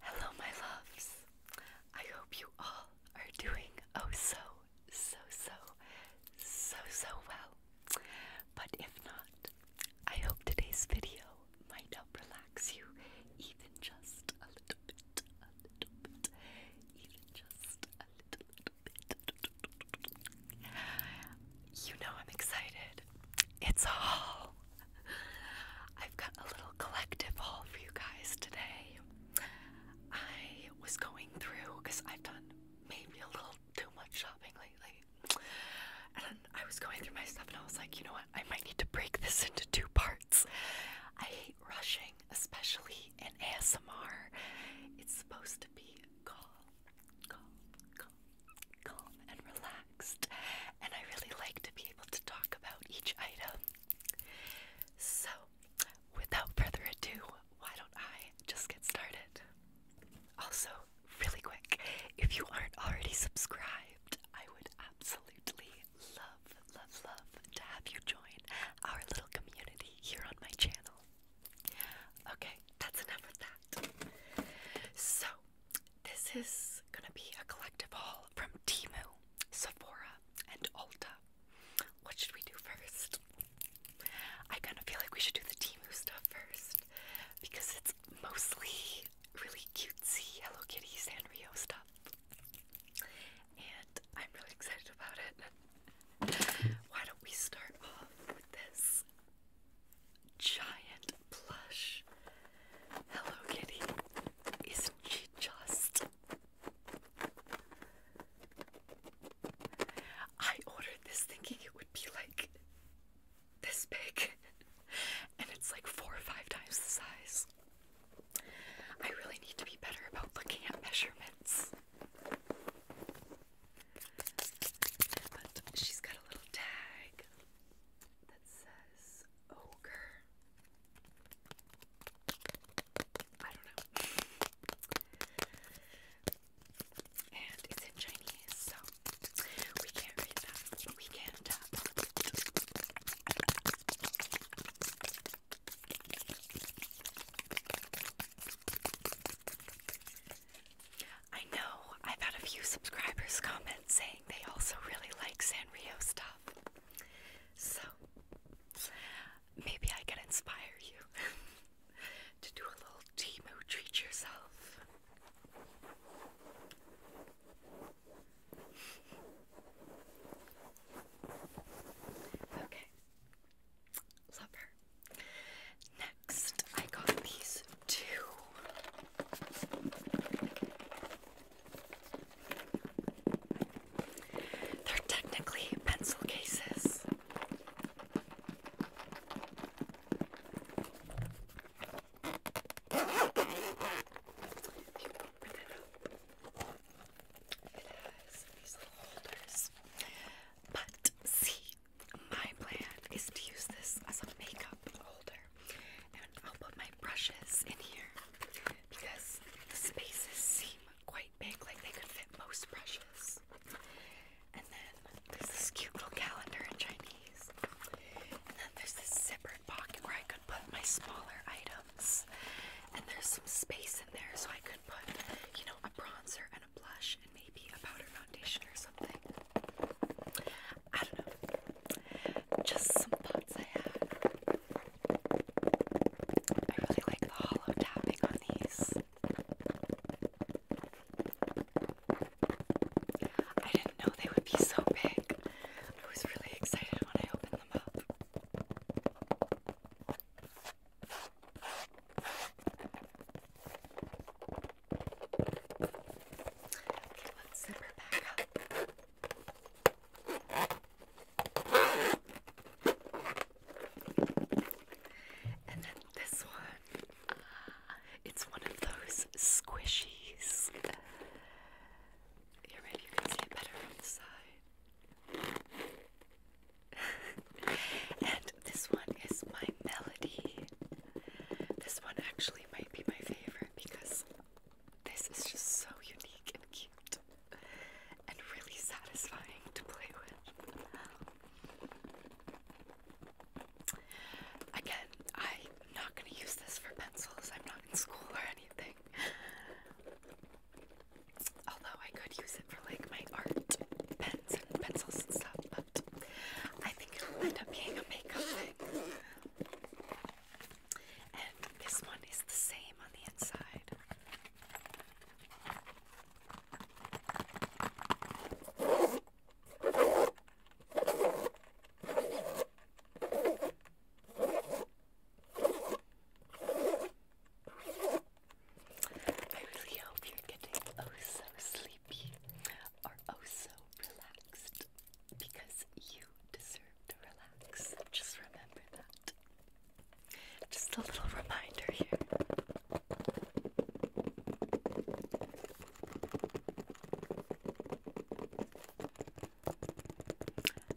Hello, my loves. I hope you all are doing oh so, so, so, so, so well. But if not, I hope today's video might help relax you even just a little bit, a little bit, even just a little, bit. You know I'm excited. It's a haul. I've got a little collective haul for you guys today. I was going through because I've done maybe a little too much shopping lately. And I was going through my stuff and I was like, you know what? I might need to break this into two parts. I hate rushing, especially in ASMR. It's supposed to be calm, calm, calm, calm, and relaxed and I really like to be able to talk about each item. So, without further ado, why don't I just get started? Also, really quick, if you aren't already subscribed, I would absolutely love, love, love to have you join our little community here on my channel. Okay, that's enough of that. So, this is gonna be a collective haul from Timu, Sephora, and Ulta. What should we do first? I kind of feel like we should do the Timu stuff first because it's mostly really cutesy Hello Kitty Sanrio stuff. And I'm really excited about it. Why don't we start off with this giant plush. Hello Kitty. Isn't she just? I ordered this thinking it would be like this big, and it's like four or five times the size. I really need to be better about looking at measurements. But she's got a little tag that says ogre. I don't know. And it's in Chinese, so we can't read that, we can tap. I know I've had a few subscribers comment saying they also really like Sanrio stuff. So, maybe I can inspire you to do a little Timo treat yourself. Okay, love her. Next, I got these two they're technically pencil cases. But see, my plan is to use this as a makeup holder I'll put my brushes in here because the spaces seem quite big, like they could fit most brushes. And then there's this cute little calendar in Chinese. And then there's this separate pocket where I could put my smaller items. And there's some space in there so I could put, you know, a bronzer and a blush and maybe a powder foundation or something. I don't know. Just some thoughts I had. I really like the hollow tapping on these. I didn't know they would be so big. I was really excited when I opened them up. Okay, let's zip back up. And then this one, it's one of those squishies. Here, maybe you can see it better on and this one is my melody. This one actually might be my favorite because this is just so unique and cute and really satisfying to play with. Again, I'm not going to use this for pencils. I'm not in school or anything. Although I could use it for like my art pens and pencils and stuff, but I think it'll end up being a makeup thing. And this one is the same on the inside. I really hope you're getting oh so sleepy or oh so relaxed because you deserve to relax. Just remember that. Just a little reminder here.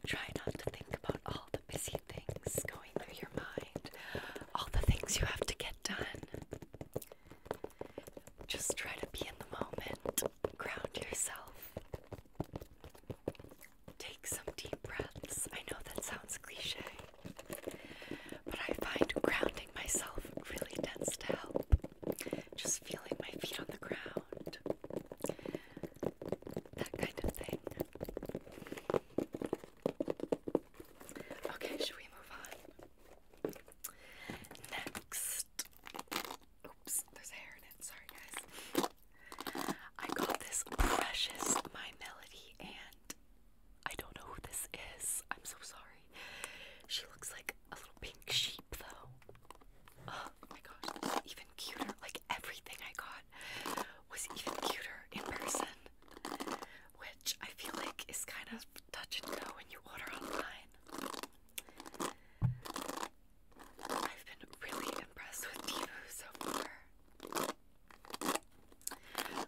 Try not to think about all the busy things going through your mind, all the things you have to get done. Just try to be in the moment ground yourself. Take some deep breaths. I know that sounds cliche, but I find grounding myself really tends to help. Just feeling my feet on the ground, that kind of thing. Okay, should we move on? Next. Oops, there's hair in it. Sorry, guys. I got this precious My Melody, and I don't know who this is. I'm so sorry. She looks like a little pink sheep, though. Oh my gosh, even cuter. Like everything I got was even cuter in person, which I feel like is kind of touch and go when you order online. I've been really impressed with Divu so far.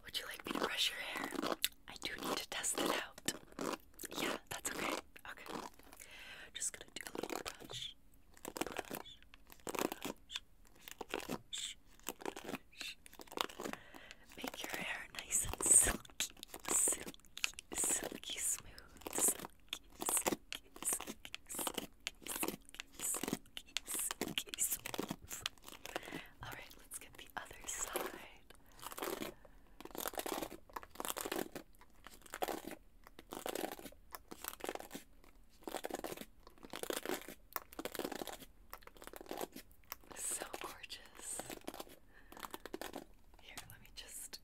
Would you like me to brush your hair? I do need to test it out. Yeah, that's okay. Okay. Just gonna do a little brush. Brush. Brush. Brush. brush. Make your hair nice and silky, silky, silky smooth. Alright, let's get the other side. So gorgeous. Here, let me just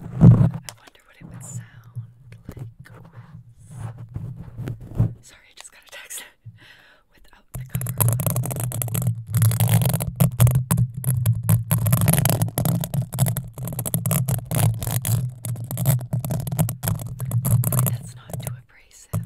I wonder what it would sound like Sorry, I just got a text without the cover. Hopefully, that's not too abrasive.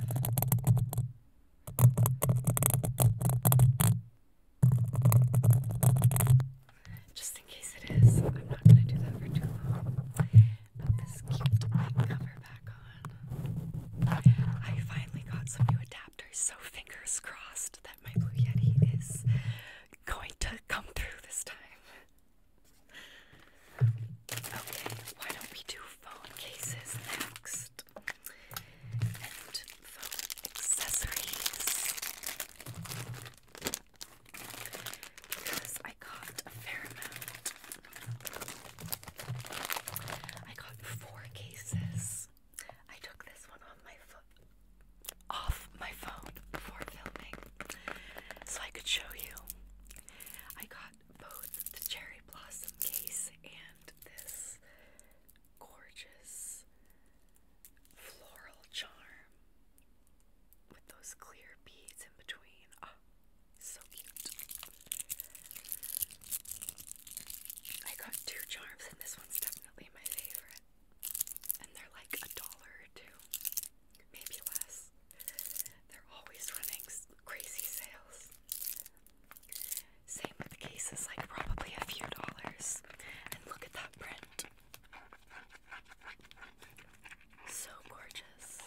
Just in case it is. I'm not gonna do that for too long. Put this cute cover back on. I finally got some new adapters, so fingers crossed that my Blue Yeti is going to come through this time. Okay, why don't we do phone cases next? And phone accessories because I got a fair amount. I got four cases. I took this one on my foot off my phone before filming so I could show you. I got both the cherry blossom case and this gorgeous floral charm with those clear beads in between. Ah, so cute. I got two charms, and this one's definitely my favorite. And they're like a dollar or two, maybe less. They're always running crazy sales. Same with cases, like probably a few dollars. And look at that print. So gorgeous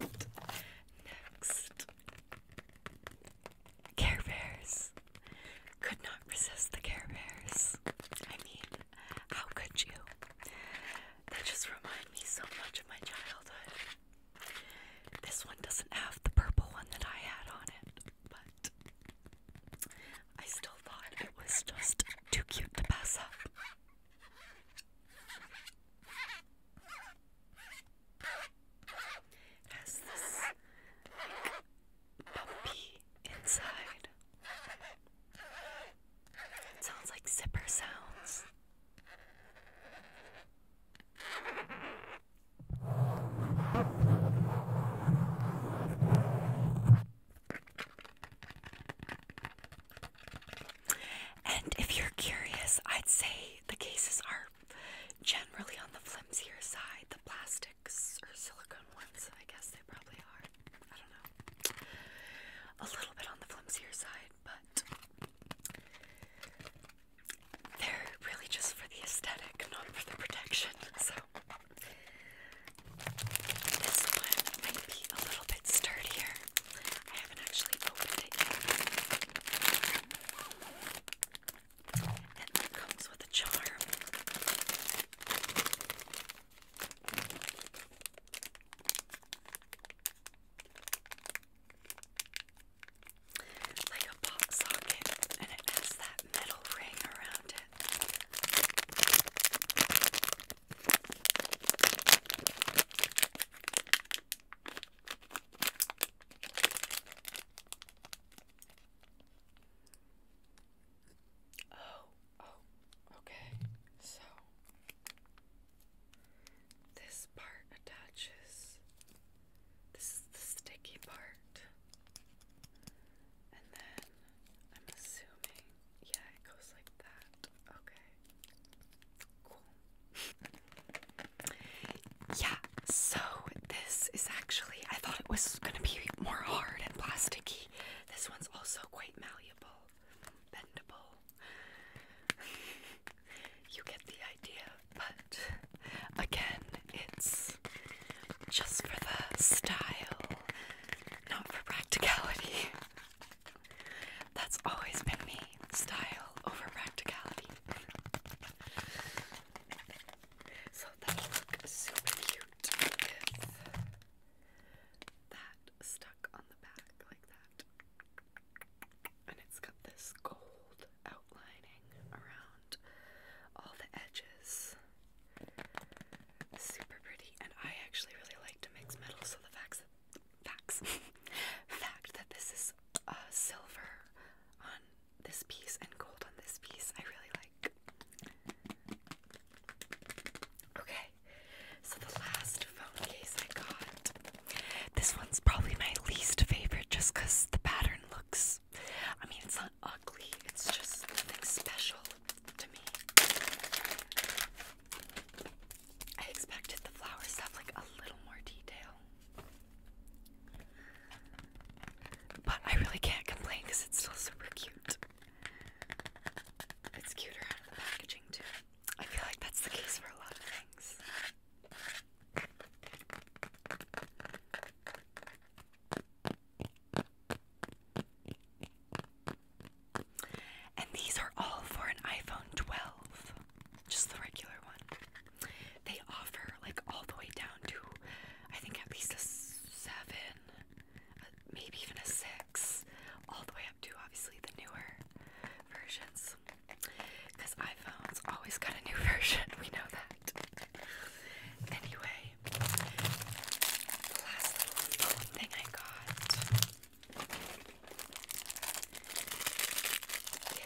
next. Care Bears. Could not resist the Care Bears. I mean, how could you? They just remind me so much of my childhood. This one doesn't have the purple one that I had on it, but I still thought it was just too cute to pass up. It has this like, bumpy inside. It sounds like zipper sounds. And if you're curious, I'd say the cases are generally on the flimsier side, the plastics or silicone ones, I guess they probably are. I don't know. A little bit on the flimsier side, but they're really just for the aesthetic, not for the protection. So this one might be a little bit sturdier. I haven't actually opened it yet. And that comes with a charm like a pop socket and it has that metal ring around it. Oh, oh, okay. So this part attaches this is the sticky part. And then I'm assuming, yeah, it goes like that. Okay. Cool. yeah, so this is actually, I thought it was going to be more hard and plasticky. This one's also quite malleable, bendable. you get the idea. But again, it's just for the style, not for practicality. That's always been me style over practicality. So that'll super cute that stuck on the back like that. And it's got this gold outline outlining around all the edges. Super pretty, and I actually really like to mix metal, so the facts, facts, fact that this is uh, silver on this piece and gold on this piece, I really like. Okay, so the last phone case I got. This one's probably my least favorite just because the pattern looks I mean, it's not ugly, it's just nothing special to me. I expected the flowers to like a little more detail. But I really can't complain because it's still super cute. It's cuter out of the packaging, too. I feel like that's the case for a lot of things. And these are all for an iPhone 12, just the regular one. They offer like all the way down to, I think, at least a 7, uh, maybe even a 6, all the way up to obviously the newer versions. Because iPhones always got a new version, we know that. Anyway, the last thing I got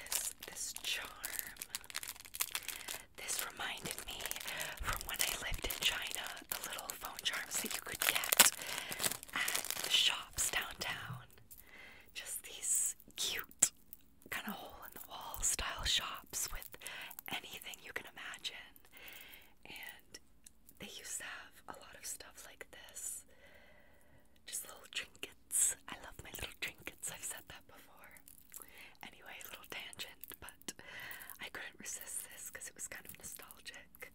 is this charm. This reminded me from when I lived in China, the little phone charms that you could get at the shops downtown. Just these cute kind of hole in the wall style shops with anything you can imagine. And they used to have a lot of stuff like this just little trinkets. I love my little trinkets, I've said that before. Anyway, little tangent, but I couldn't resist this because it was kind of nostalgic.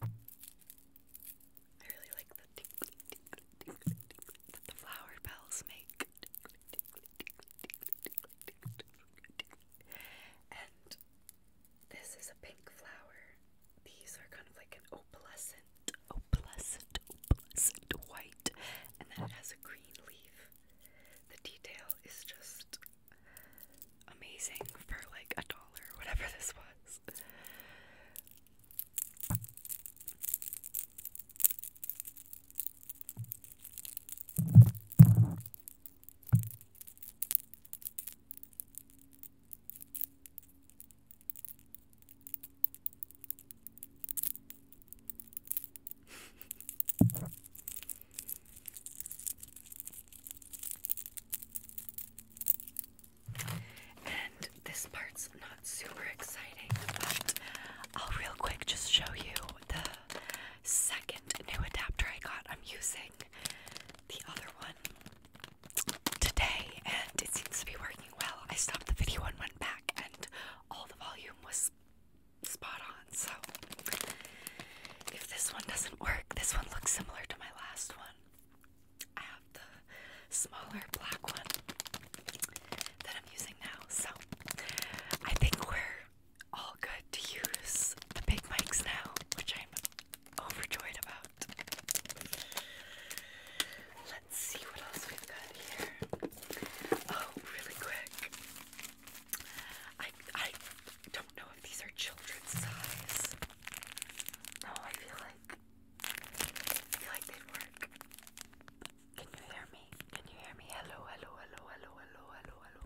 I really like the the flower bells make. And this is a pink flower. These are kind of like an opalescent, opalescent, opalescent white, and then it has a green leaf. The detail is just amazing for like a dollar, whatever this was and this part's not super exciting, but I'll real quick just show you the second new adapter I got. I'm using the other one today, and it seems to be working well. I stopped the video and went back, and all the volume was spot on. So, if this one doesn't work, this one looks similar to my last one. I have the smaller black one that I'm using now. So I think we're all good to use the big mics now, which I'm overjoyed about. Let's see what else we've got here. Oh, really quick. I I don't know if these are children's size. No, oh, I feel like feel like they'd work. Can you hear me? Can you hear me? Hello, hello, hello, hello, hello, hello,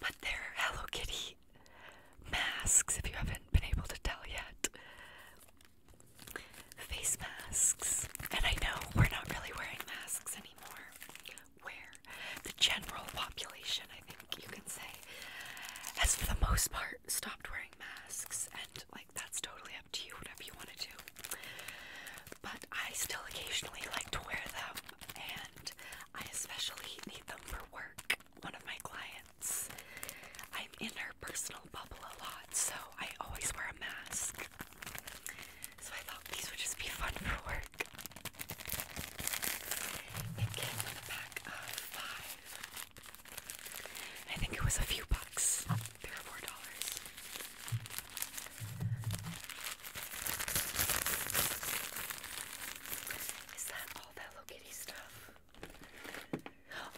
but they're Hello Kitty masks, if you haven't been able to tell yet. Face masks. And I know we're not really wearing masks anymore. Where the general population, I think you can say, has for the most part stopped wearing masks and like that's totally up to you, whatever you want to do. But I still occasionally like to wear them, and I especially need them for work. One of my clients, I'm in her personal bubble a lot, so I always wear a mask. So I thought these would just be fun for work. It came in a pack of five. I think it was a few bucks, three or four dollars. Is that all that Hello Kitty stuff?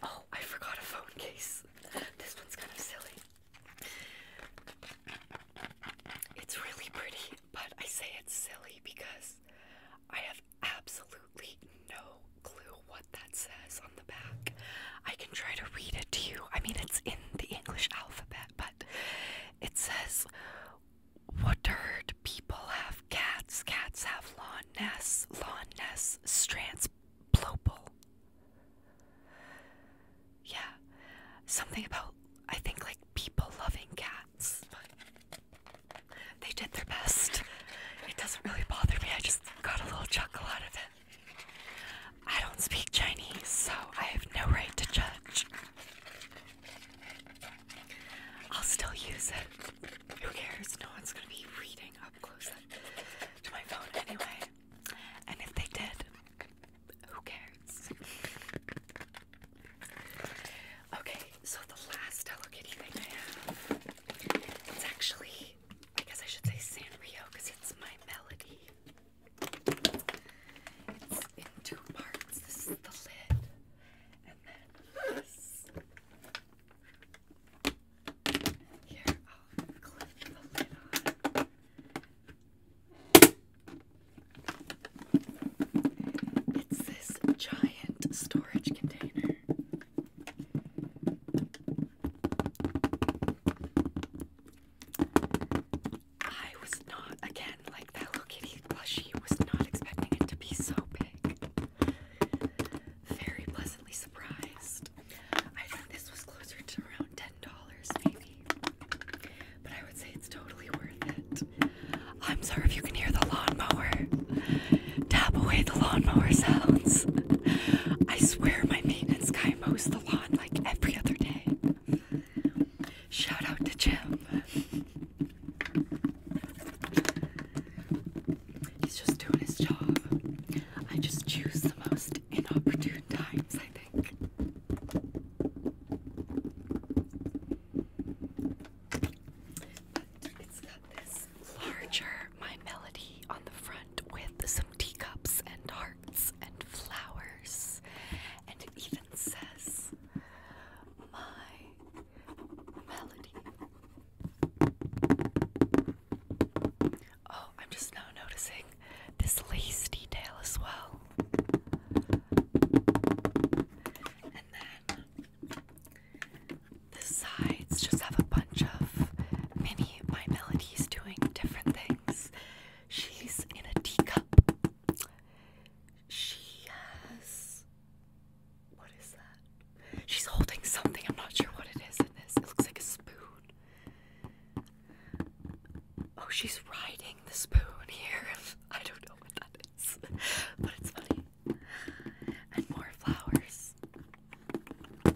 Oh, I forgot a phone case. This one's kind of silly. It's really pretty, but I say it's silly because I have absolutely no clue what that says on the back. I can try to read it to you. I mean, it's in the English alphabet, but it says, Watered people have cats, cats have lawn nests, lawn nests, strands, plopal. Yeah, something about, I think, like people loving cats. they did their best. It doesn't really bother me, I just got a little chuckle out of it. I don't speak Chinese, so I have no right to judge. I'll still use it. Who cares? No one's gonna be reading up close to my phone anyway. And if they did, who cares? okay, so the last Hello Kitty thing I have, it's actually I I should say Sanrio because it's my melody. It's in two parts. This is the lid, and then this. Here, I'll clip the lid on. It's this giant storage container. I was not, again, like that Hello Kitty plushie was not expecting it to be so big. Very pleasantly surprised. I think this was closer to around $10 maybe. But I would say it's totally worth it. I'm sorry if you can hear the lawnmower. Tap away the lawnmower sounds. I swear my and Sky mows the lawn like every other day. Shout out to Jim. He's just doing his job. I just choose the most inopportune times, I think. it's got this larger My Melody on the front with some teacups and hearts and flowers, and it even says, My Melody. Oh, I'm just now noticing this lace detail as well. And then the sides just have a bunch of mini My Melody She's doing different things. She's in a teacup. She has. What is that? She's holding something. I'm not sure what it is It looks like a spoon. Oh, she's riding the spoon here. I don't know what that is. But it's funny. And more flowers. I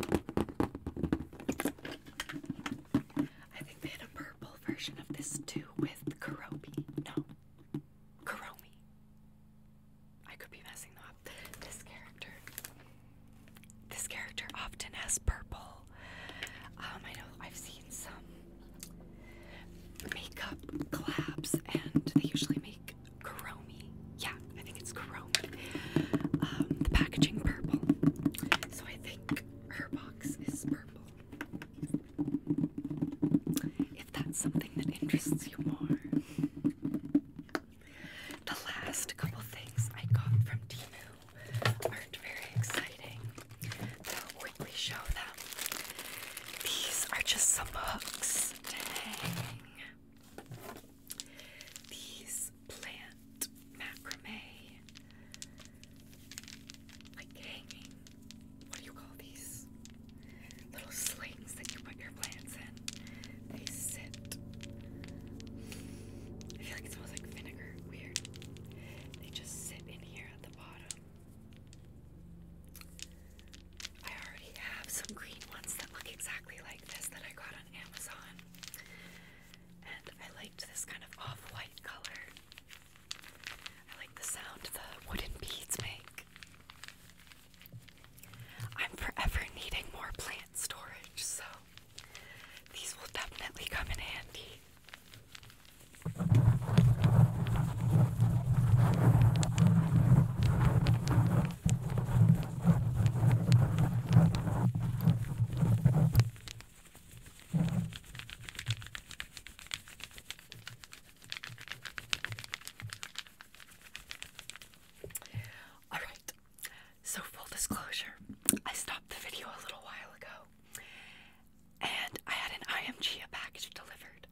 think they had a purple version of this too with Kurobi. No. Kuromi. I could be messing up. This character. This character often has purple. Um, I know I've seen some makeup collabs and they usually make Kuromi. Yeah, I think it's chrome. Um, the packaging purple. So I think her box is purple. If that's something that interests you more. The last couple things I got from Timu aren't very exciting. But i show These are just some hooks these plant macrame, like hanging, what do you call these? Little slings that you put your plants in. They sit. I feel like it smells like vinegar. Weird. They just sit in here at the bottom. I already have some green ones that look exactly like this that I got on Amazon and I liked this kind of off-white color. I like the sound the wooden beads make. I'm forever needing more plant storage, so these will definitely come in handy. All right, so full disclosure, I stopped the video a little while ago and I had an IMGA package delivered.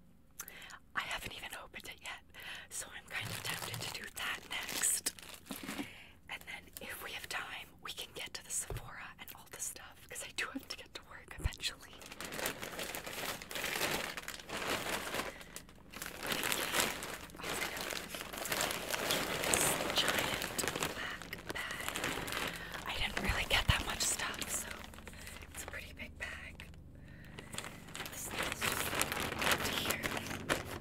I haven't even opened it yet, so I'm kind of tempted to do that next. And then if we have time, we can get to the Sephora and all the stuff because I do have to get to work eventually. I didn't really get that much stuff, so it's a pretty big bag. This is just here.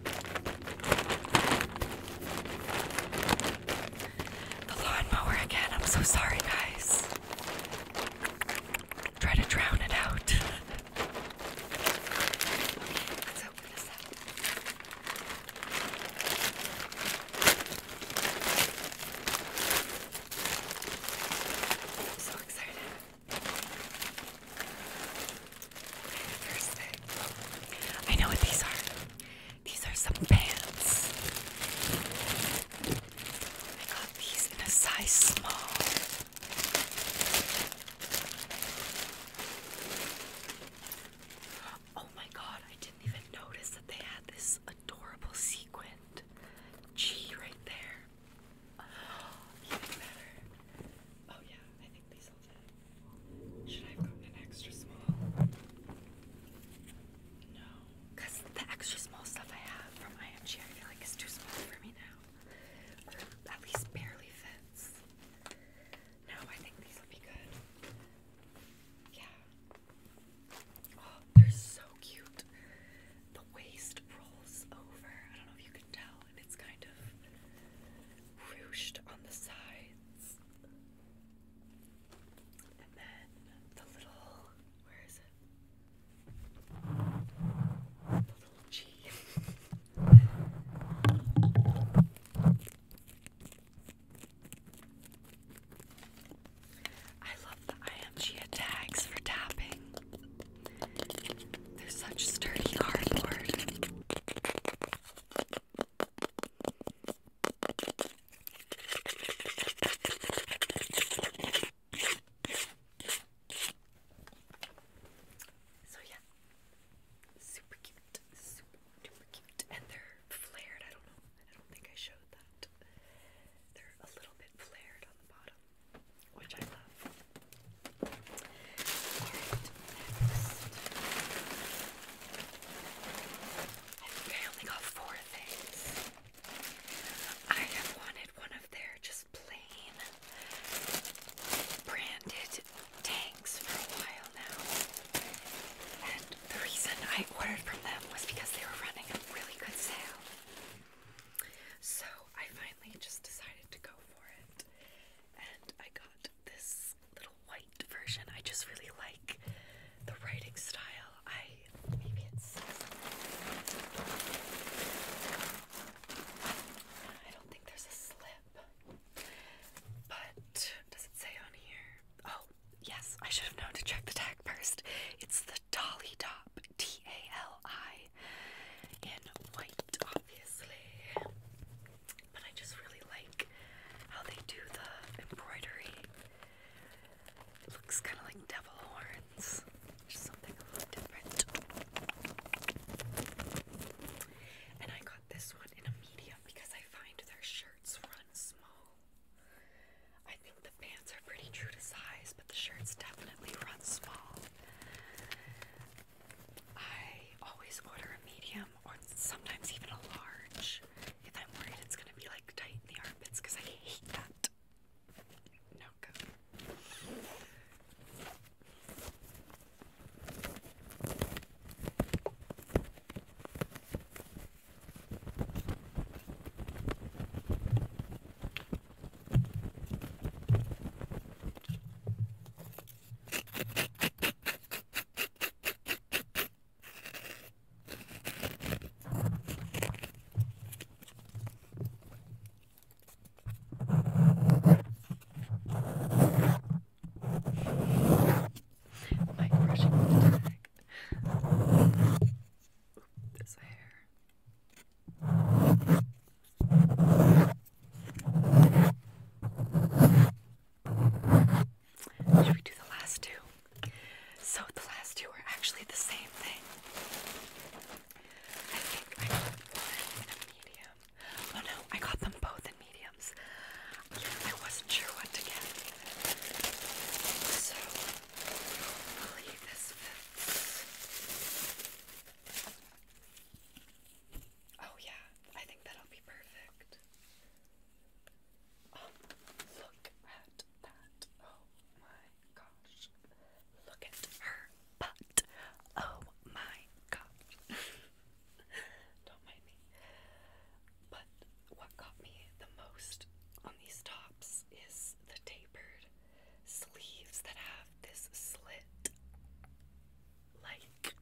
The lawnmower again. I'm so sorry, guys. Try to drown it out. so excited. Thursday. I know what these are. These are some pants. I got these in a size small. Oh my god, I didn't even notice that they had this adorable sequined G right there. Oh yeah, I think these should I have gotten an extra small? No. Because the extra small stuff I have from IMG I feel like is too small for me now. at least barely fits. No, I think these will be good. Yeah. Oh, they're so cute. The waist rolls over. I don't know if you can tell, and it's kind of ruched on the sides pants. And then the little, where is it? The little G. I love the IMG tags for tapping. They're such sturdy cardboard. So yeah, super cute, super cute, and they're flared. I don't know. I don't think I showed that. They're a little bit flared on the bottom, which I love. I think I only got four things. I have wanted one of their just plain branded tanks for a while now. And the reason I ordered from them was because they were running a really good sale. So I finally just decided to go for it. And I got this little white version. I just really like the writing style. I maybe it's I don't think there's a slip. But does it say on here? Oh, yes, I should have known to check the tag first. It's the Dolly Top T A L I in white, obviously. But I just really like how they do the embroidery. looks kind of like devil horns, which something different. And I got this one in a medium because I find their shirts run small. I think the pants are pretty true to size, but the shirts definitely run small. I always order a medium or sometimes even a large if I'm worried it's gonna be like tight in the armpits because I hate that. No good. Like brushing the back. This hair. Should we do the last two? So the last two are actually the same thing. I think I got one in a medium. Oh no, I got them both in mediums. I wasn't sure what to get. So I believe this fits. Oh yeah, I think that'll be perfect. Um, look at that. Oh my gosh. Look at her butt. Oh my gosh. Don't mind me. But what got me the most on these tops is the tapered sleeves that have this slit like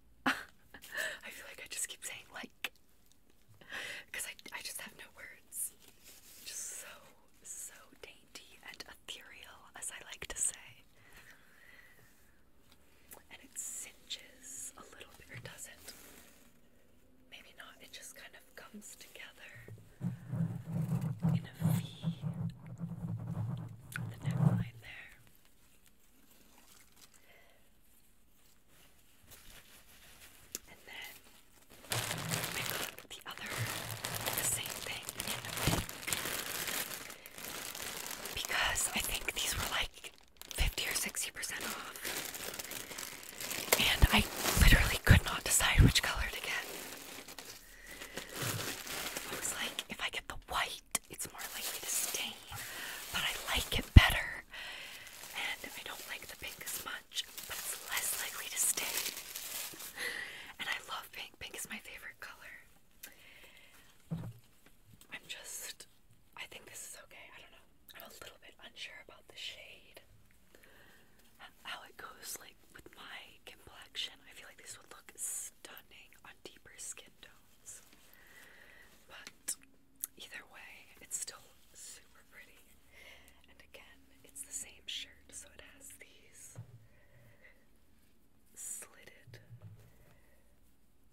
I feel like I just keep saying like because I, I just have no words. Just so, so dainty and ethereal, as I like to say. And it cinches a little bit, or does not Maybe not, it just kind of comes together in a V. The neckline there. And then I oh got the other, the same thing Because I think these were like 50 or 60% off. And I literally could not decide which color to get. I was like, if I get the white, it's more likely to stain, but I like it better. And I don't like the pink as much, but it's less likely to stain. And I love pink. Pink is my favorite color. I'm just, I think this is okay. I don't know. I'm a little bit unsure about the shade. How it goes, like with my complexion. I feel like this would look stunning on deeper skin tone. But either way, it's still super pretty. And again, it's the same shirt, so it has these slitted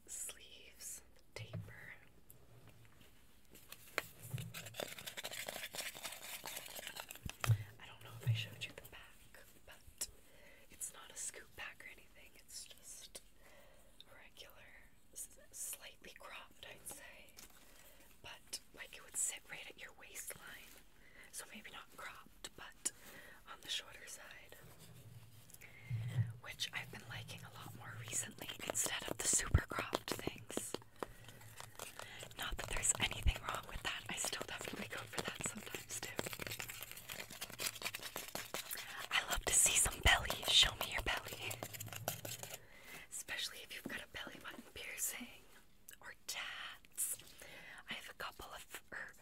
sleeves, taper. I don't know if I showed you the back, but it's not a scoop pack or anything, it's just regular, slightly cropped, I'd say. But like it would sit right at your waistline. So maybe not cropped, but on the shorter side. Which I've been liking a lot more recently instead of the super cropped things. Not that there's anything wrong with that, I still definitely go for that sometimes too. I love to see some belly. Show me your belly. Especially if you've got a belly button piercing or tats. I have a couple of, or er,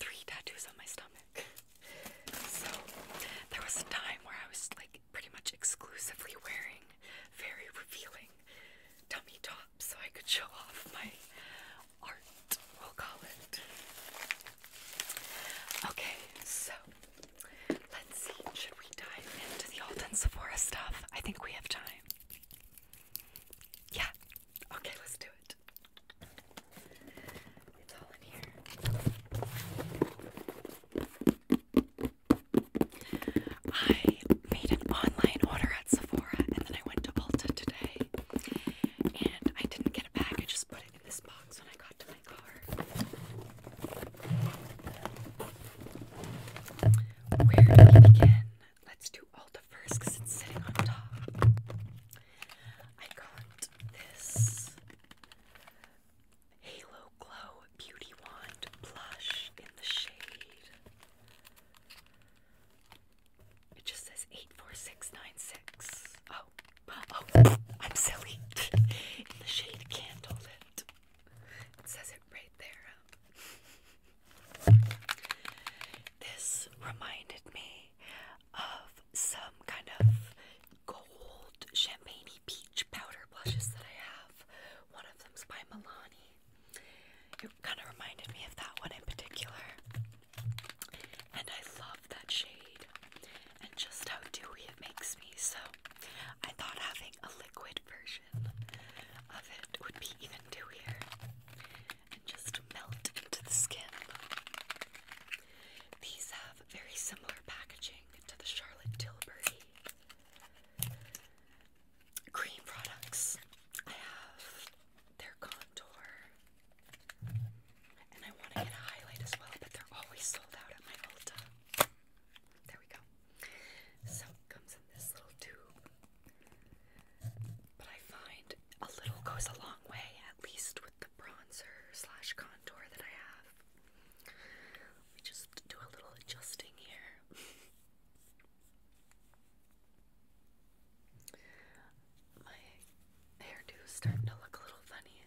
three tattoos on my stomach. So there was a time where I was like pretty much exclusively wearing very revealing tummy tops so I could show off my art, we'll call it. Okay, so let's see. Should we dive into the Alden Sephora stuff? I think we have time. Yeah. Okay, let's do it. It's all in here. I made an online order at Sephora and then I went to Ulta today and I didn't get a package, just put it this box when I got to my car. Where do we begin? Let's do Ulta first because it's sitting on top. I got this Halo Glow Beauty Wand Blush in the shade. It just says 84696. Oh, oh, I'm silly. In the shade candle lit. says it right there. Um. This reminded me of some kind of gold champagne peach powder blushes that I have. One of them's by Milani. It kind of reminded me of that one in particular. And I love that shade and just how dewy it makes me. So I thought having a liquid version of it would be even dewier and just melt into the skin. These have very similar packaging to the Charlotte Tilbury cream products. I have their contour and I want to get a highlight as well, but they're always sold out at my Ulta. There we go. So comes in this little tube. But I find a little goes a long way, at least with the bronzer slash contour that I have. Let me just do a little adjusting here my hairdo is starting to look a little funny.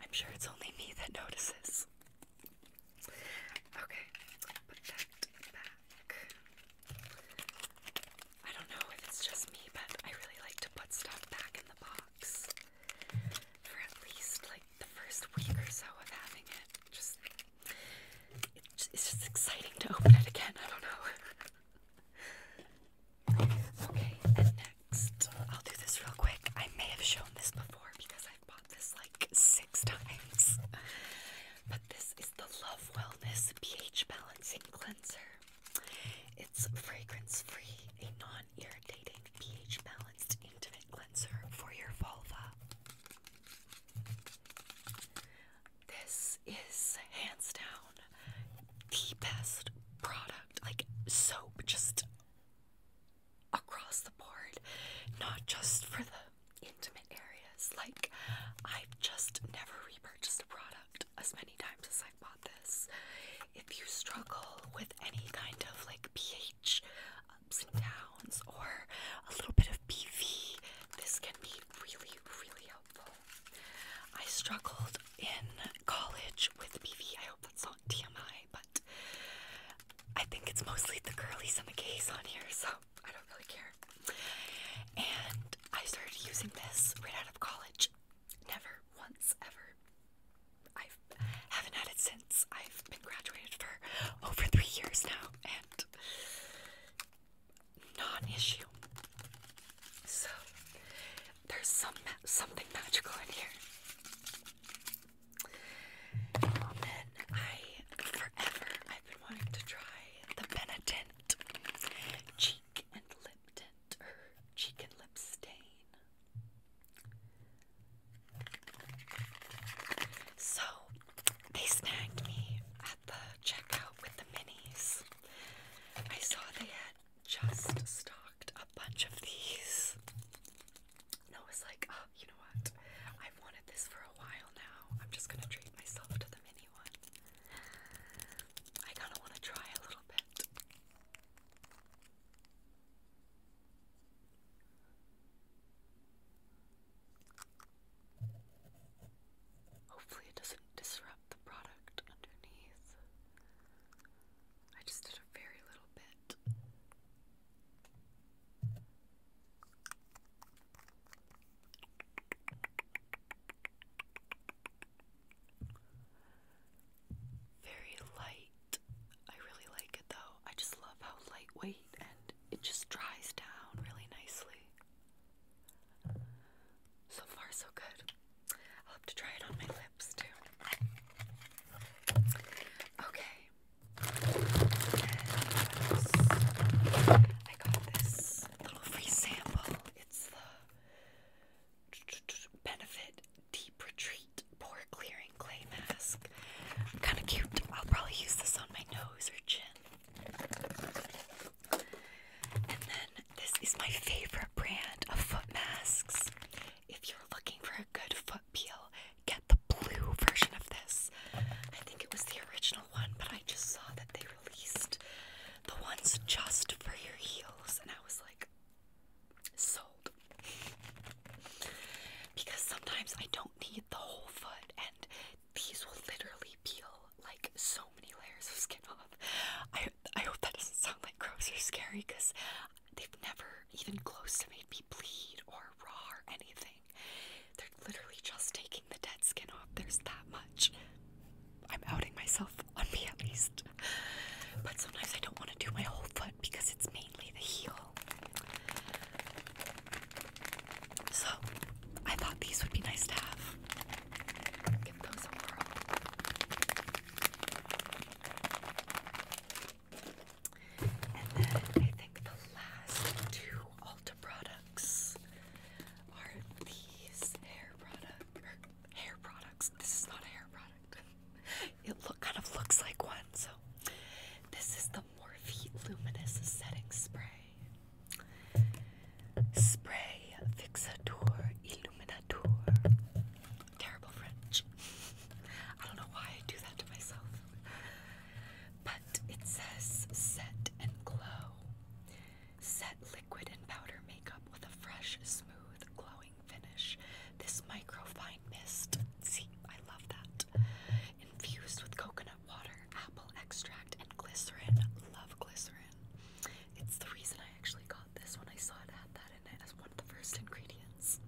I'm sure it's only me that notices. Okay, put that back. I don't know if it's just me, but I really like to put stuff back in the box for at least like the first week or so of having it. Just it's just exciting to open it again. I don't know. Okay, and next, I'll do this real quick. I may have shown this before because I've bought this like six times. But this is the Love Wellness pH Balancing Cleanser. It's fragrance free, a non irritating, pH balanced, intimate cleanser for your vulva. This is hands down the best product, like soap, just across the board, not just for the intimate areas. Like, I've just never repurchased a product as many times as I've bought this. If you struggle with any kind of like pH ups and downs or a little bit of PV, this can be really, really helpful. I struggled in college with BV. I hope that's not TMI, but I think it's mostly the girlies and the gays on here, so I don't really care. And I started using this right out of college. Never once ever. I haven't had it since. I've been graduated for over three years now, and non issue. So, there's some ma something magical in here. And I forever I've been wanting to try the Benetint cheek and lip tint or cheek and lip stain. So they snagged me at the checkout with the minis. I saw they had just stocked a bunch of these. And I was like, oh, you know what? I've wanted this for a while now. I'm just gonna treat myself to the mini one. I kind of want to try a little bit. Hopefully, it doesn't disrupt the product underneath. I just did a very little bit. Very light. I really like it though. I just love how lightweight and it just dries down really nicely. So far, so good. I'll have to try it on my lips too. Okay. I got this little free sample. It's the Benefit Deep Retreat Pore Clearing Clay Mask. Kind of cute. I'll probably use this on my nose or chin. And then this is my favorite brand of foot masks. If you're looking for a good foot peel, get the blue version of this. I think it was the original one, but I just saw that they released the ones just for your heels, and I was like, sold. Because sometimes I don't need the whole foot, and these will literally peel like so many layers of skin off. I I hope that doesn't sound like gross or scary because they've never even close to made me bleed or raw or anything. They're literally just taking the dead skin off. There's that much. I'm outing myself on me at least. But sometimes I don't want to do my whole foot because it's mainly the heel. So I thought these would be nice to have. Give those a whirl. And then I think the last two Ulta products are these hair product er, hair products. This is not a hair product. It look kind of looks like one. So this is the Morphe Luminous Setting Spray. Spray Fixator Terrible French. I don't know why I do that to myself. But it says set and glow. Set liquid and powder makeup with a fresh, smooth, glowing finish. This microfine mist, see, I love that. Infused with coconut water, apple extract, and glycerin. Love glycerin. It's the reason I actually got this one I saw it had that in it as one of the first ingredients.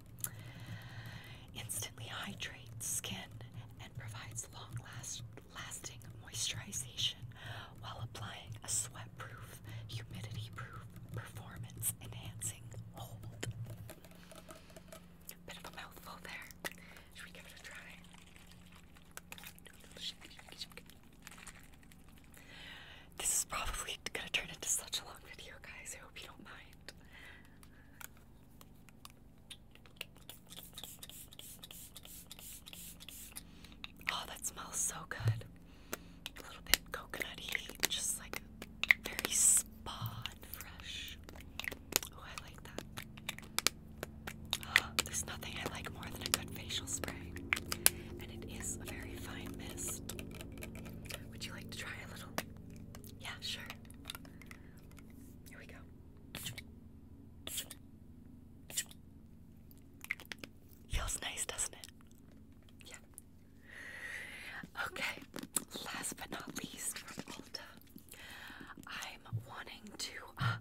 Instantly hydrates skin and provides long lasting moisturization while applying a sweat proof, humidity proof, performance enhancing hold. Bit of a mouthful there. Should we give it a try? This is probably gonna turn into such a long video, guys. I hope you don't mind. Oh, that smells so good. A little bit coconutty, just like very spa and fresh. Oh, I like that. there's nothing I like more than a good facial spray and it is a very fine mist. Would you like to try a little? Yeah, sure. Here we go. Feels nice, doesn't it? Yeah. Okay, last but not least from Ulta, I'm wanting to, uh,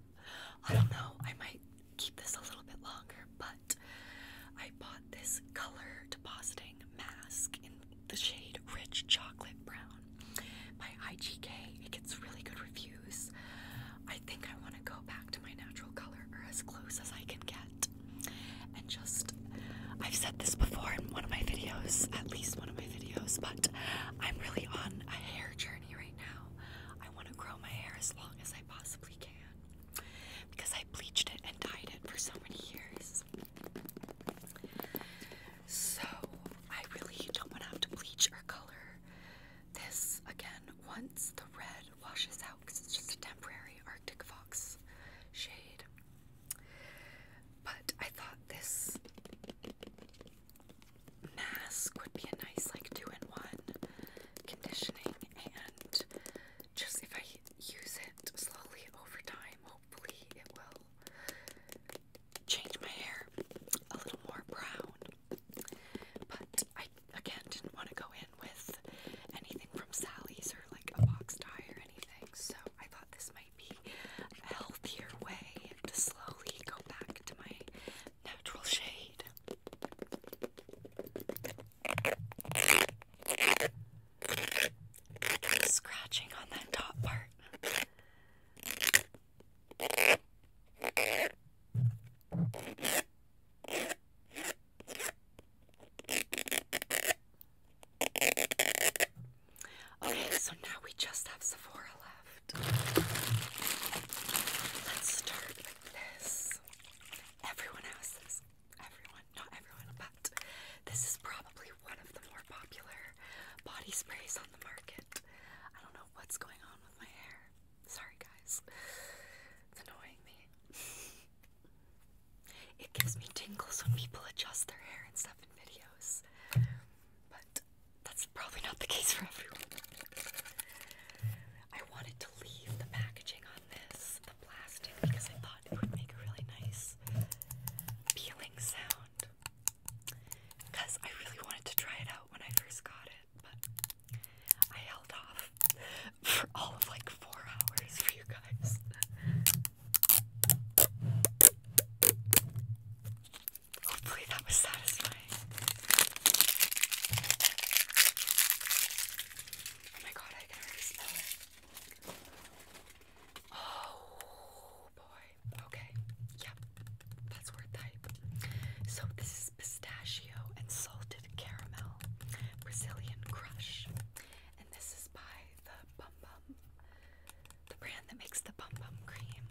I don't know, I might keep this a little bit longer, but I bought this color depositing mask in the shade Rich Chocolate Brown by IGK. It gets really good reviews. I think I want to go back to my natural color or as close as I can get. And just, I've said this before in one of my videos, at least one of my videos, but I'm really on a hair journey right now. I want to grow my hair as long as I possibly can because I bleached it and dyed it for so many years. So I really don't want to have to bleach or color this again once the red washes out because it's just a temporary Arctic Fox shade. But I thought this mask would be a nice like two-in-one conditioning and just if I use it slowly over time, hopefully it will change my hair a little more brown. But I again didn't want to go in with anything from Sally's or like a box dye or anything, so I thought this might be a healthier way to slowly go back to my natural shade. Scratching on that top part. Okay, so now we just have Sephora left. Let's start with this. Everyone has this everyone, not everyone, but this is probably one of the more popular body sprays on the market. I don't know what's going on with my hair. Sorry, guys. It's annoying me. It gives me tingles when people adjust their hair and stuff in videos. But that's probably not the case for everyone. I wanted to leave the packaging on this, the plastic, because I thought it would make a really nice peeling sound. Because I really wanted to try it out when I first got it, but I held off for all of like four hours for you guys. Hopefully that was satisfying. Oh my god, I can already smell it. Oh boy. Okay. Yep. That's our type. So this is pistachio and salted caramel. Brazilian crush. And this is by the Bum Bum. The brand that makes the Bum Bum cream.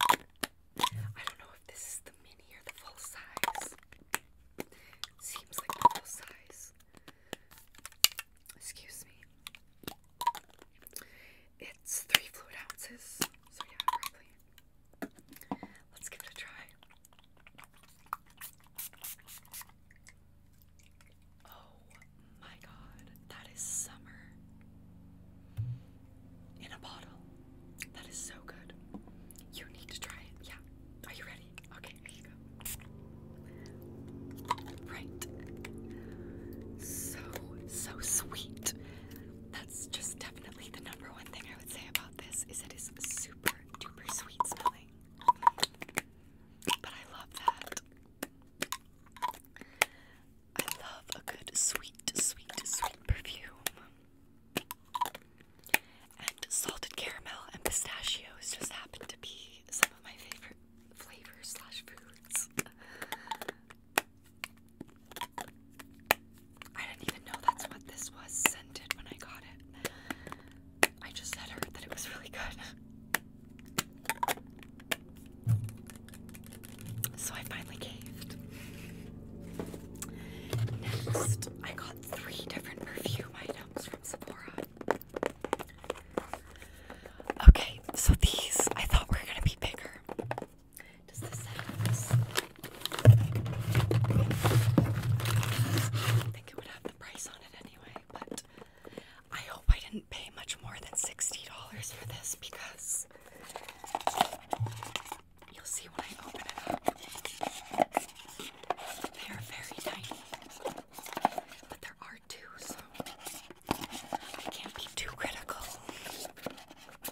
I don't know if this is the mini or the full size. Seems like full size. Excuse me. It's three fluid ounces, so yeah, probably. Let's give it a try. Oh my god, that is summer in a bottle. That is so good. You need to try it. Yeah. Are you ready? Okay, here you go. Right. So, so sweet. That's just definitely the number one thing I would say about this is it is super duper sweet smelling. But I love that. I love a good sweet, sweet, sweet perfume. And salted caramel and pistachios just happen to be some of my favorite flavors slash foods. I didn't even know that's what this was scented when I got it. I just had that it was really good. So I finally caved. Next, I got three different perfume items from Sephora. Okay, so these I thought were gonna be bigger. Does this have I think it would have the price on it anyway, but I hope I didn't pay much more than $60 for this because You'll see when I open it up. They are very tiny, but there are two, so I can't be too critical. Comes with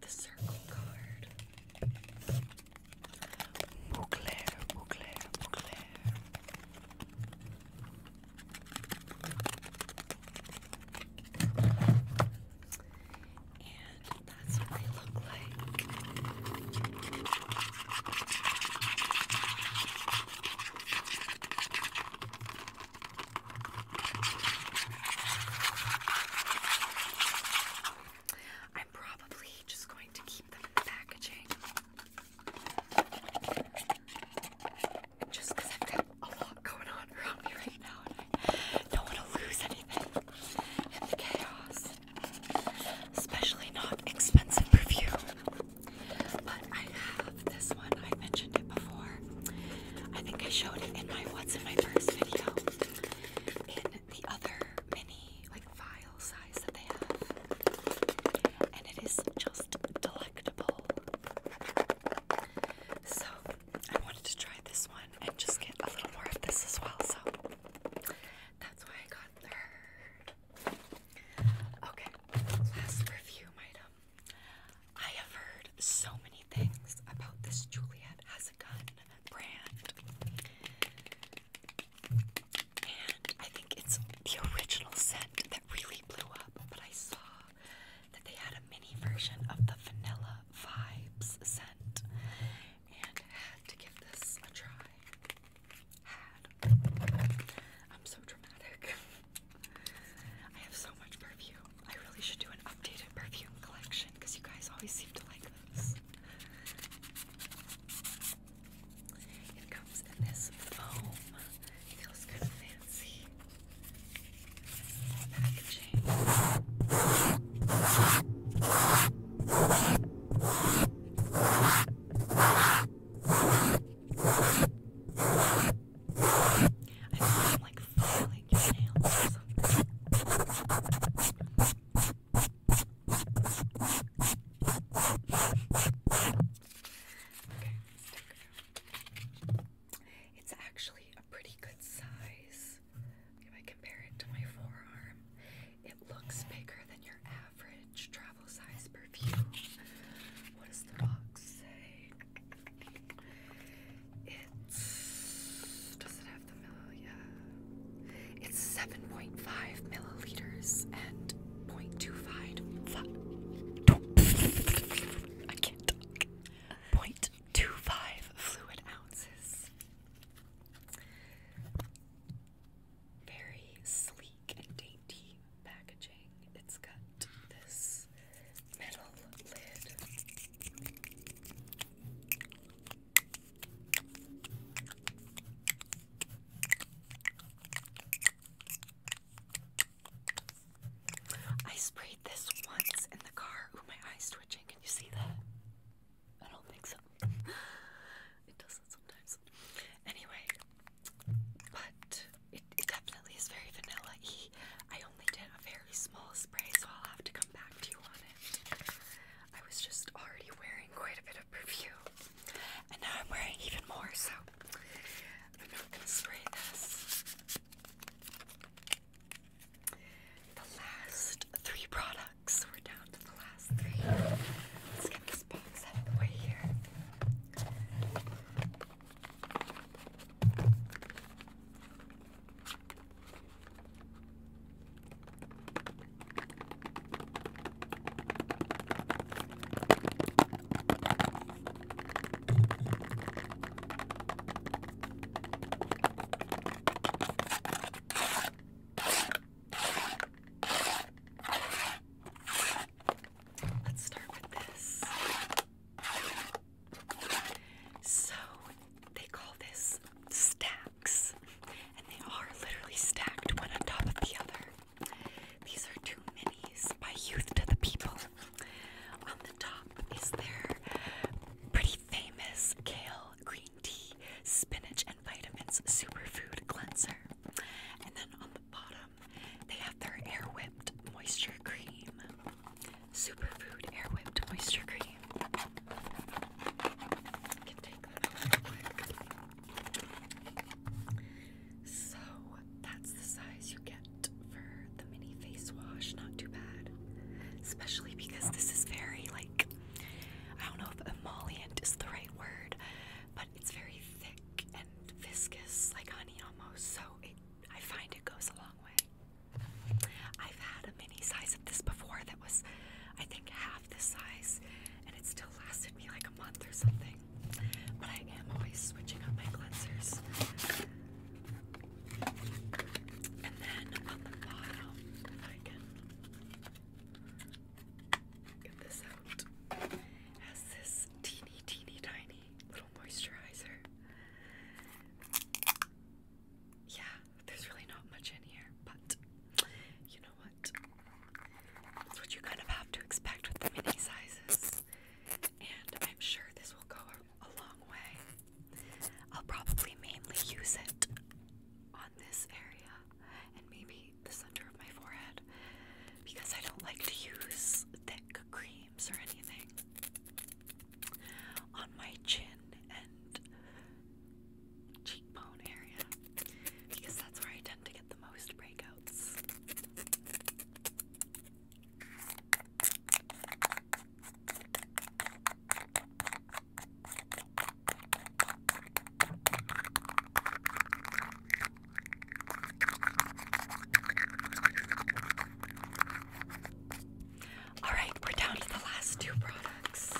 the circle card. Bouclair, Bouclair, Bouclair. And that's what they look like. I'm probably just going to keep the packaging. Just I've got a lot going on around me right now don't want to lose anything in the chaos. Especially not expensive perfume. But I have this one, I mentioned it before. I think I showed it in my What's in My first video. In the other mini like vial size that they have, and it is just delectable. So I wanted to try this one and just get a little more of this as well. So that's why I got her. Okay, last review item. I have heard so many things about this Juliet has a gun brand. And I think it's the original scent that really blew up, but I saw that they had a mini version of the vanilla vibes scent and had to give this a try. I'm so dramatic. I have so much perfume. I really should do an updated perfume collection because you guys always seem to like those. It comes in this foam. feels kind of fancy. Packaging. I feel like filing your nails it's actually a pretty good size. If I compare it to my forearm, it looks bigger than your average travel size perfume. What does the box say? It's. Does it it's seven point five milliliters and 0.25. I can't talk. fluid ounces. Very sleek and dainty packaging. It's got this metal lid. I sprayed this once in the car. Ooh, my eye's twitching. Can you see that? I don't think so. it does sometimes. Anyway, but it, definitely is very vanilla y. I only did a very small spray, so I'll have to come back to you on it. I was just already wearing quite a bit of perfume, and now I'm wearing even more, so I'm not gonna spray this. The last three products, we're down to the last three. Let's get this box out of the way here. Let's start with this. So, they call this staff and they are literally stacked one on top of the other. These are two minis by Youth to the People. On the top is their pretty famous kale, green tea, spinach, and vitamins superfood cleanser. And then on the bottom, they have their air whipped moisture cream. Superfood air whipped moisture cream. So that's the size you get for the mini face wash. Not too bad. Especially because this is very like I don't know if emollient is the right word, but it's very thick and viscous, like honey almost. So I find it goes a long way. I've had a mini size this before that was, I think, half the size, and it still lasted me like a month or something. But I am always switching up my cleansers. And then on the bottom, I can get this out, has this teeny, teeny, tiny little moisturizer. Yeah, there's really not much in here, but you know what? That's what you kind of have to expect with the mini sizes. And I'm sure this will go a, a long way. I'll probably mainly use it on this area and maybe the center of my forehead because I don't like to use thick creams or anything on my chin and cheekbone area because that's where I tend to get the most breakouts. All right, we're down to the last two products.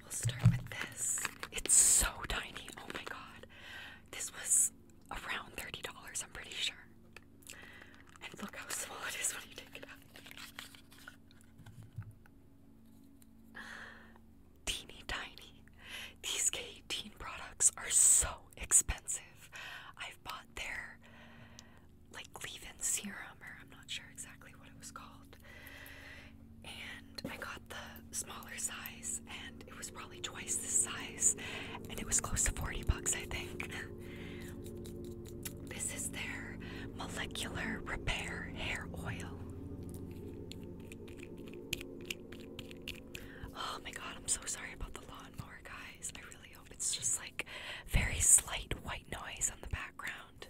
We'll start with this. It's so tiny. Oh my god. This was around $30, I'm pretty sure. And look how small it is when you take it out. Teeny tiny. These K18 products are so expensive. I've bought their like leave-in serum, or I'm not sure exactly what it was called. And I got the smaller size, and it was probably twice the size, and it was close to 40 bucks, I think. this is their molecular repair hair oil. Oh my god, I'm so sorry about the lawnmower, guys. I really hope it's just like very slight white noise on the background.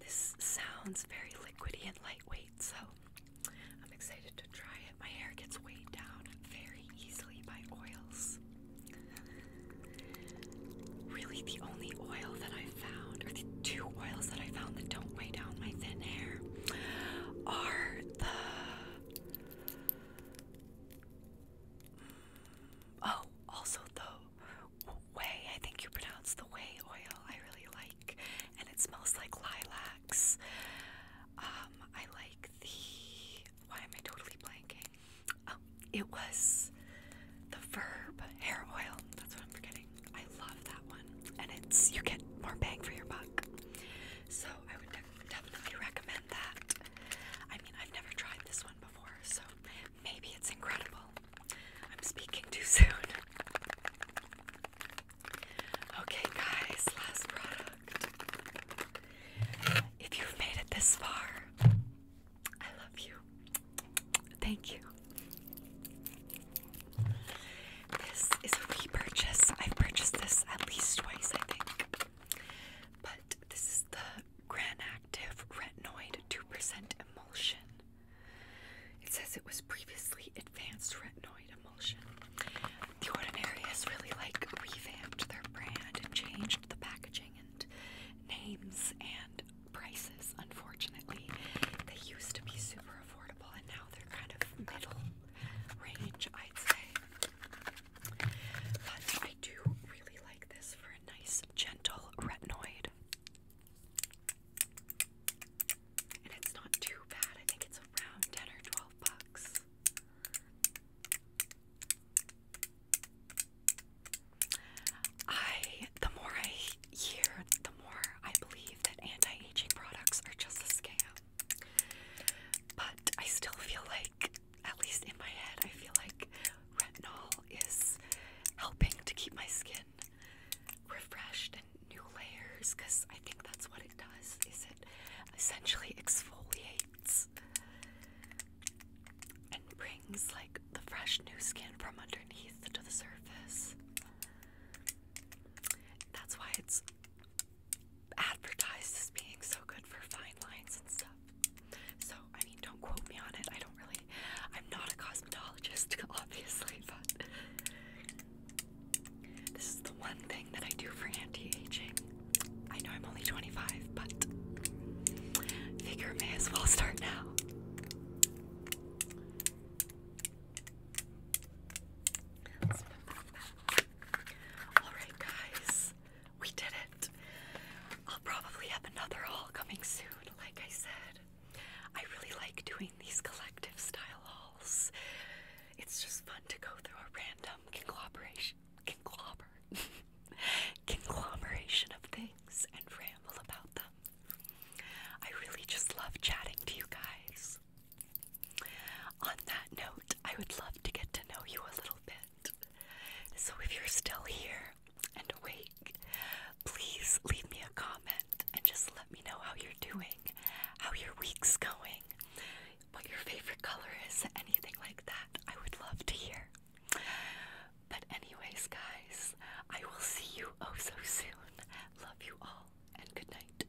This sounds very liquidy and lightweight, so I'm excited to try it. My hair gets weighed down very easily by oils. Really, the only oil that I found, or the two oils that I found that don't weigh down my thin hair, are the Oh, also the way, I think you pronounce the way oil, I really like. And it smells like lilacs. Um, I like the. Why am I totally blanking? Oh, it was the verb hair oil. That's what I'm forgetting. I love that one. And it's, you get more bang for your buck. So I would definitely definitely recommend that. I mean, I've never tried this one before, so maybe it's incredible. I'm speaking too soon. Okay, guys, last product. If you've made it this far, I love you. Thank you. This is a repurchase. I've purchased this at least twice, I think. But this is the Granactive Retinoid 2% Emulsion. It says it was previously Advanced Retinoid Emulsion. The Ordinary has really like revamped their brand and changed the packaging and names and prices, unfortunately. They used to be super affordable and now they're kind of middle range, I'd say. But I do really like this for a nice, gentle retinoid. And it's not too bad. I think it's around 10 or 12 bucks. I, the more I hear, the more I believe that anti-aging products are just a scam. But I still feel like, at least in my head, I feel like retinol is helping to keep my skin refreshed and new layers because I think that's what it does is it essentially exfoliates and brings like the fresh new skin from underneath to the surface. That's why it's advertised as being so good for fine lines and stuff. So, I mean, don't quote me on it. I don't really, I'm not a cosmetologist, obviously, but this is the one thing that I do for anti aging. I know I'm only 25, but figure may as well start now. Alright, guys, we did it. I'll probably have another haul coming soon, like I said. I really like doing these collective style hauls. It's just fun to go through a random conglomeration, conglomer, conglomeration of things and ramble about them. I really just love chatting to you guys. On that note, I would love to get to know you a little bit. So if you're still here and awake, please leave me a comment and just let me know how you're doing, how your week's going, what your favorite color is, anything like that. I would love to hear. But, anyways, guys, I will see you oh so soon. Love you all and good night.